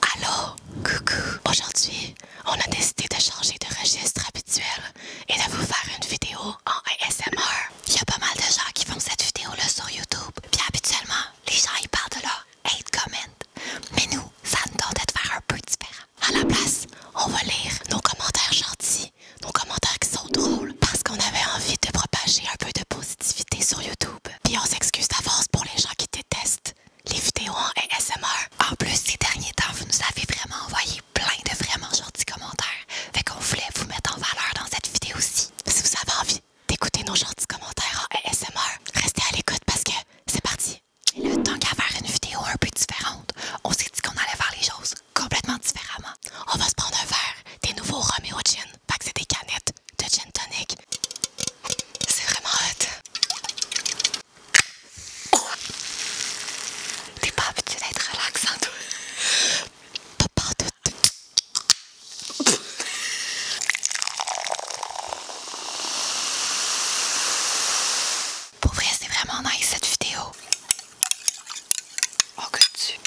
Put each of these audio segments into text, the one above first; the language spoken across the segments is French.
Allo, coucou. Aujourd'hui, on a décidé de changer de registre habituel et de vous faire une vidéo en ASMR. Il y a pas mal de gens qui font cette vidéo-là sur YouTube. Bien habituellement, les gens ils parlent de leur hate comment. Mais nous, ça nous doit de faire un peu différent. À la place, on va lire nos commentaires gentils, nos commentaires qui sont drôles, parce qu'on avait envie de propager un peu de positivité sur YouTube. Puis on s'excuse d'avance pour les gens qui détestent les vidéos en ASMR. En plus, ces derniers temps, vous nous avez vraiment envoyé plein de vraiment gentils commentaires. Fait qu'on voulait vous mettre en valeur dans cette vidéo aussi. Si vous avez envie d'écouter nos gentils commentaires en ASMR, restez à l'écoute parce que c'est parti. le temps qu'à faire une vidéo un peu différente, on s'est dit qu'on allait faire les choses complètement différemment. On va se prendre un verre des nouveaux Romeo Gin, fait que c'est des canettes de gin tonic. C'est vraiment hot. T'es pas habitué d'être relaxant, toi. Pas partout. Pour vrai, c'est vraiment nice cette vidéo. Oh, que tu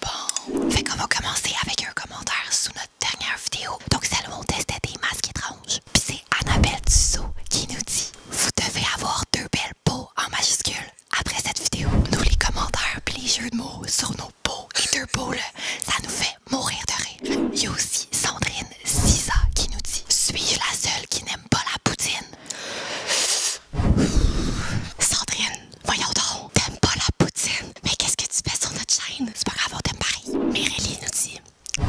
bon. Fait qu'on va commencer avec un commentaire sous notre dernière vidéo. Donc on testait des masques étranges. Puis c'est Annabelle Tussaud qui nous dit « Vous devez avoir deux belles peaux en majuscule après cette vidéo. » Nous, les commentaires plusieurs les jeux de mots sur nos peaux et deux peaux, là, ça nous fait mourir de rire. Il y a aussi Sandrine Siza qui nous dit « Suis-je la seule qui n'aime pas la poutine? » Sandrine, voyons donc t'aimes pas la poutine, mais qu'est-ce que tu fais sur notre chaîne? C'est pas grave, on t'aime pareil. Mireille nous dit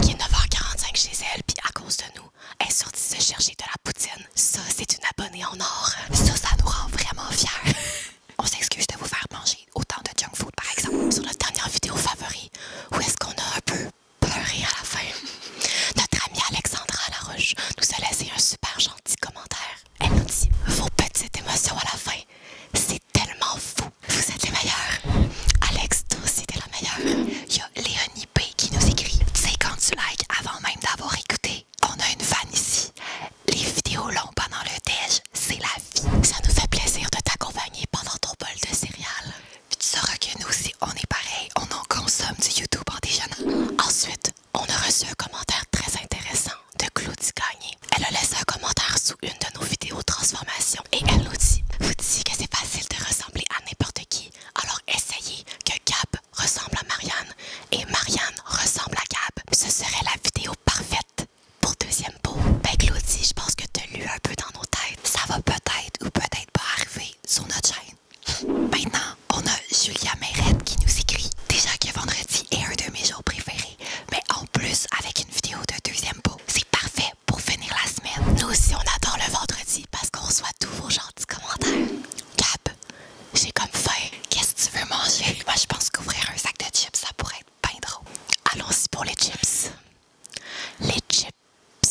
qu'il est 9h45 chez elle, puis à cause de nous, elle est sortie se chercher de la poutine. Ça, c'est une abonnée en or. Ça, ça nous rend vraiment fiers. on s'excuse de vous faire manger autant de junk food, par exemple. Sur notre dernière vidéo favori, où est-ce qu'on a un peu pleuré à la fin? Notre amie Alexandra Laroche nous a laissé un super gentil commentaire. Elle nous dit Vos petites émotions à la fin, c'est tellement fou. Vous êtes les meilleurs. Alex, toi aussi, t'es la meilleure. Il y a Léonie P qui nous écrit. 50 likes avant même d'avoir écouté, on a une fan ici. Les vidéos longues pendant le déj, c'est la vie. Ça nous fait plaisir de t'accompagner pendant ton bol de céréales. tu sauras que nous aussi, on est pareil. On en consomme du YouTube en déjeunant. Ensuite, on a reçu un commentaire très intéressant de Claudie Gagné. Elle a laissé un commentaire sous une de nos vidéos transformation et elle nous dit Vous dites que c'est facile de ressembler à n'importe qui, alors essayez que Gab ressemble à Marianne et Marianne ressemble à Gab. Ce serait la vidéo parfaite pour deuxième peau. Ben Claudie, je pense que tu lu un peu dans nos têtes. Ça va peut-être ou peut-être pas arriver sur notre chaîne. Maintenant, on a Julia Meyrette qui nous écrit Déjà que vendredi est un de mes jours préférés mais en plus avec une vidéo de deuxième peau. C'est parfait pour finir la semaine. Nous aussi, on attend le vendredi parce qu'on reçoit tous vos gentils commentaires. Cap, j'ai comme faim. Qu'est-ce que tu veux manger? Moi, je pense qu'ouvrir un sac de chips, ça pourrait être bien drôle. Allons-y pour les chips. Les chips.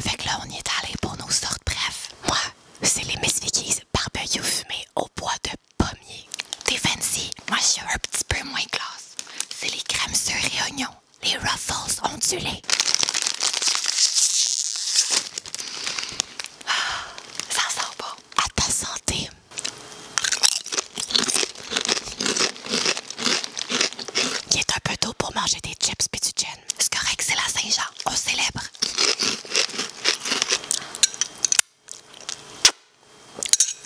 fait que là, on y est allé pour nos sortes. Bref, moi, c'est les Miss Vicky's barbecue fumé au bois de pommier. T'es fancy, moi je suis un petit peu moins classe. C'est les crèmes sur et oignons, les ruffles ondulés. Ah, ça sent bon. À ta santé. Il est un peu tôt pour manger des chips pis Ce C'est correct, c'est la Saint-Jean. On célèbre.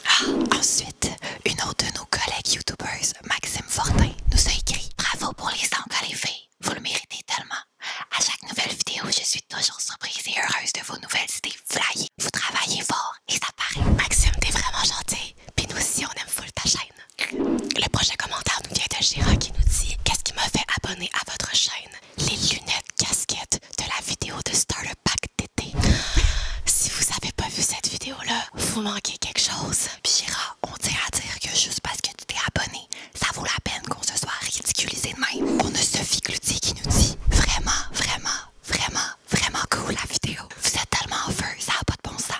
Ah, ensuite, une autre de nos collègues YouTubers, Maxime Fortin, nous a écrit Bravo pour les sangles, les fait vous le méritez tellement. À chaque nouvelle vidéo, je suis toujours surprise et heureuse de vos nouvelles idées Vous travaillez fort et ça paraît. Maxime, t'es vraiment gentil. Puis nous aussi, on aime full ta chaîne. Le prochain commentaire nous vient de Gérard qui nous dit Qu'est-ce qui me fait abonner à votre chaîne les lunettes casquettes de la vidéo de Starter Pack d'été. Si vous n'avez pas vu cette vidéo-là, vous manquez quelque chose. Pira, on tient à dire que juste parce que tu t'es abonné, ça vaut la peine qu'on se soit ridiculisé de même. On a Sophie Cloutier qui nous dit vraiment, vraiment, vraiment, vraiment cool la vidéo. Vous êtes tellement en ça n'a pas de bon sens.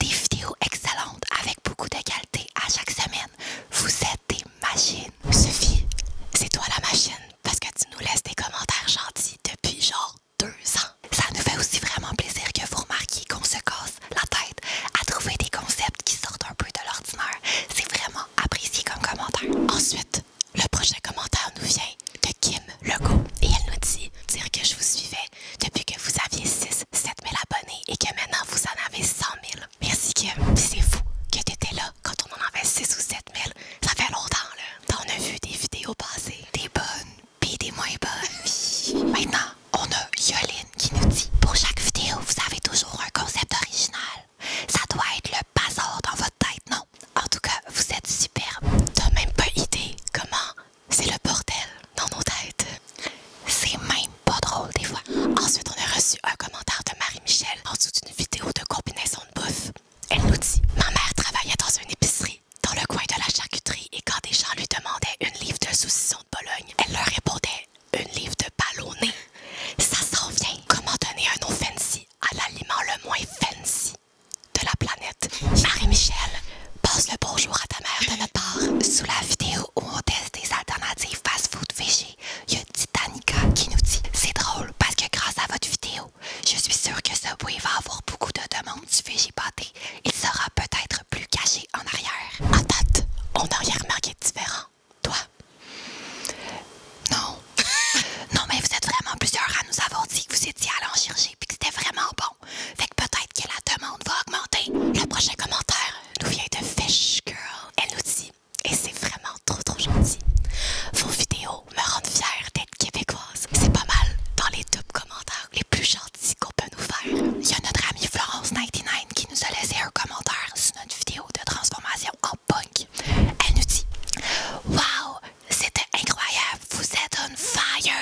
Des vidéos excellentes avec beaucoup de qualité à chaque semaine. Vous êtes des machines. Sophie, c'est toi la machine parce que tu nous laisses des commentaires gentils depuis genre deux ans. Ça nous fait aussi vraiment plaisir que vous remarquiez qu'on se casse la tête à trouver des concepts qui sortent un peu de l'ordinaire. C'est vraiment apprécié comme commentaire. Ensuite, le prochain commentaire nous vient de Kim Legault et elle nous dit dire que je vous suivais depuis que vous aviez 6, 7 000 abonnés et que maintenant vous en avez 100 000. Merci Kim, c'est fou que tu étais là quand on en avait 6 ou 7 000, ça fait longtemps, là. On a vu des vidéos passées, des bonnes, puis des moins bonnes. Maintenant, on a Yoline qui nous dit Pour chaque vidéo, vous avez toujours un concept original. Ça doit être le bazar dans votre tête, non? En tout cas, vous êtes superbe. T'as même pas idée comment c'est le bordel dans nos têtes. C'est même pas drôle des fois. Ensuite, on a reçu un commentaire de Marie-Michel en dessous d'une vidéo de combinaison de bouffe. Elle nous dit Ma mère travaillait dans une épicerie, dans le coin de la charcuterie, et quand des gens lui demandaient une livre de saucisson de Bologne, elle leur répondait Une livre de ballonné. Ça s'en vient. Comment donner un nom fancy à l'aliment le moins fancy de la planète Marie-Michel, passe le bonjour à ta mère de notre part. Sous la vidéo où on teste des alternatives fast-food végé, il y a Titanica qui nous dit C'est drôle parce que grâce à votre vidéo, je suis sûre que ce bruit va avoir beaucoup de demandes du pâté. Il sera peut-être plus caché en arrière. En on n'a rien remarqué différent. Toi? Non. non, mais vous êtes vraiment plusieurs à nous avoir dit que vous étiez allé en chirurgie puis que c'était vraiment bon. Fait que peut-être que la demande va augmenter. Le prochain commentaire nous vient de Fish Girl. Elle nous dit et c'est vraiment trop trop gentil. Vos vidéos me rendent fière d'être québécoise. C'est pas mal dans les top commentaires les plus gentils qu'on peut nous faire. Il y a notre amie Florence99 qui nous a laissé un commentaire sur notre vidéo de transformation en punk. Elle nous dit Wow! c'était incroyable, vous êtes un fire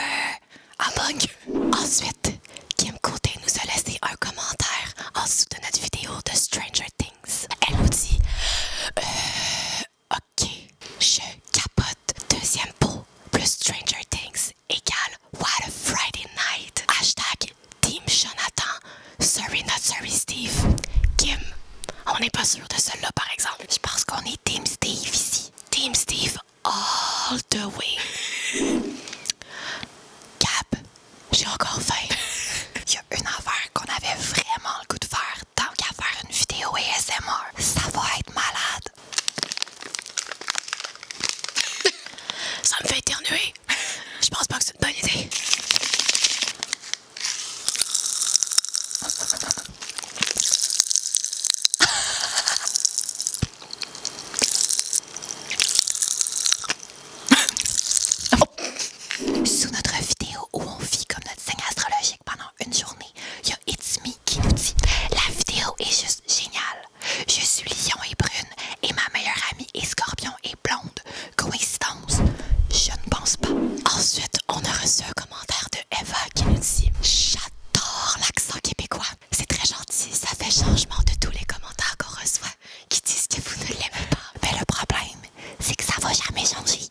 en punk. Ensuite, Kim Côté nous a laissé un commentaire en dessous de notre vidéo de Stranger Things. Elle nous dit euh, Ok. Je capote. Deuxième pot plus Stranger Things égale What a Friday Night. Hashtag Team Jonathan. Sorry not sorry Steve. Kim. On n'est pas sûr de celle-là par exemple. Je pense qu'on est Team Steve ici. Team Steve all the way. Cap, j'ai encore faim. une affaire qu'on avait vraiment le goût de faire tant qu'à faire une vidéo ASMR. Ça va être malade. Ça me fait éternuer. Je pense pas que c'est une bonne idée. Sous notre vidéo où on vit comme signe astrologique pendant une journée, il y a Itzmi qui nous dit La vidéo est juste géniale. Je suis lion et brune et ma meilleure amie est scorpion et blonde. Coïncidence Je ne pense pas. Ensuite, on a reçu un commentaire de Eva qui nous dit J'adore l'accent québécois. C'est très gentil, ça fait changement de tous les commentaires qu'on reçoit qui disent que vous ne l'aimez pas. Mais le problème, c'est que ça va jamais changer.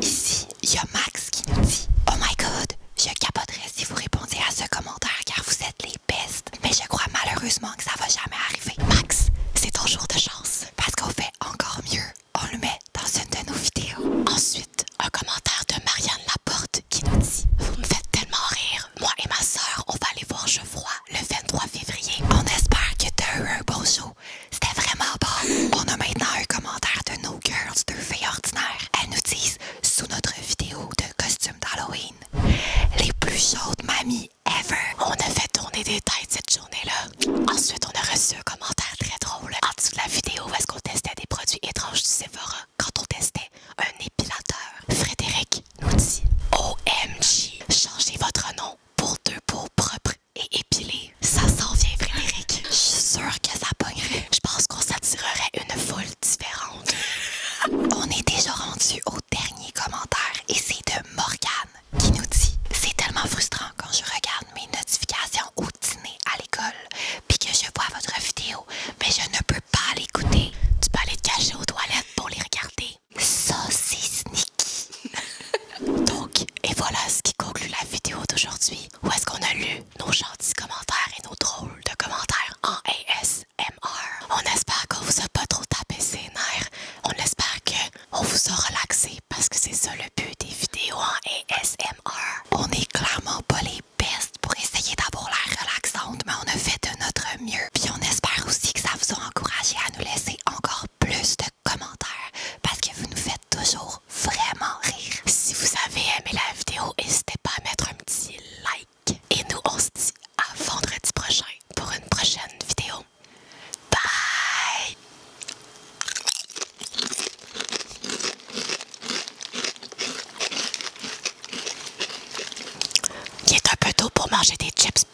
Ici, il y a Max qui nous dit Oh my god, je capoterais si vous répondez à ce commentaire car vous êtes les pestes. Mais je crois malheureusement que ça va jamais arriver. Max, c'est ton jour de chance parce qu'on fait encore mieux. On le met dans une de nos vidéos. Ensuite, un commentaire de Marianne Laporte qui nous dit Vous me faites tellement rire. Moi et ma soeur, on va aller voir vois le 23 février. On espère que t'as eu un bon jour c'était vraiment bon. On a maintenant un commentaire de nos Girls, de filles ordinaires. Elles nous disent, sous notre vidéo de costume d'Halloween, les plus chaudes mamies ever. On a fait tourner des têtes cette journée-là. Ensuite, on a reçu un commentaire très drôle en dessous de la vidéo est-ce qu'on testait des produits étranges du Sephora quand on testait un épilateur. Frédéric nous dit, OMG, changez votre nom pour deux beaux propriétaires et épilé. Ça s'en vient, Frédéric. Je suis sûre que ça pognerait. Je pense qu'on s'attirerait une foule différente. On est déjà rendu au dernier commentaire et c'est de Morgane qui nous dit C'est tellement frustrant quand je regarde mes notifications au dîner à l'école puis que je vois votre vidéo, mais je ne peux pas l'écouter. Tu peux aller te cacher aux toilettes pour les regarder. Ça c'est sneaky! Donc, et voilà ce qui conclut la vidéo d'aujourd'hui. Où est-ce qu'on a lu nos gentils commentaires et nos drôles de commentaires en ASMR? On espère qu'on vous a pas trop tapé ses nerfs. On espère qu'on vous a relaxé parce que c'est ça le but des vidéos en ASMR. On est clairement pas les bestes pour essayer d'avoir l'air relaxante, mais on a fait de notre mieux. Puis on espère aussi que ça vous a encouragé à nous laisser encore plus de commentaires parce que vous nous faites toujours vraiment rire. Si vous avez aimé la vidéo, n'hésitez pas à mettre un petit like. Et nous, on se dit à vendredi prochain pour une prochaine vidéo. Bye! Il est un peu tôt pour manger des chips.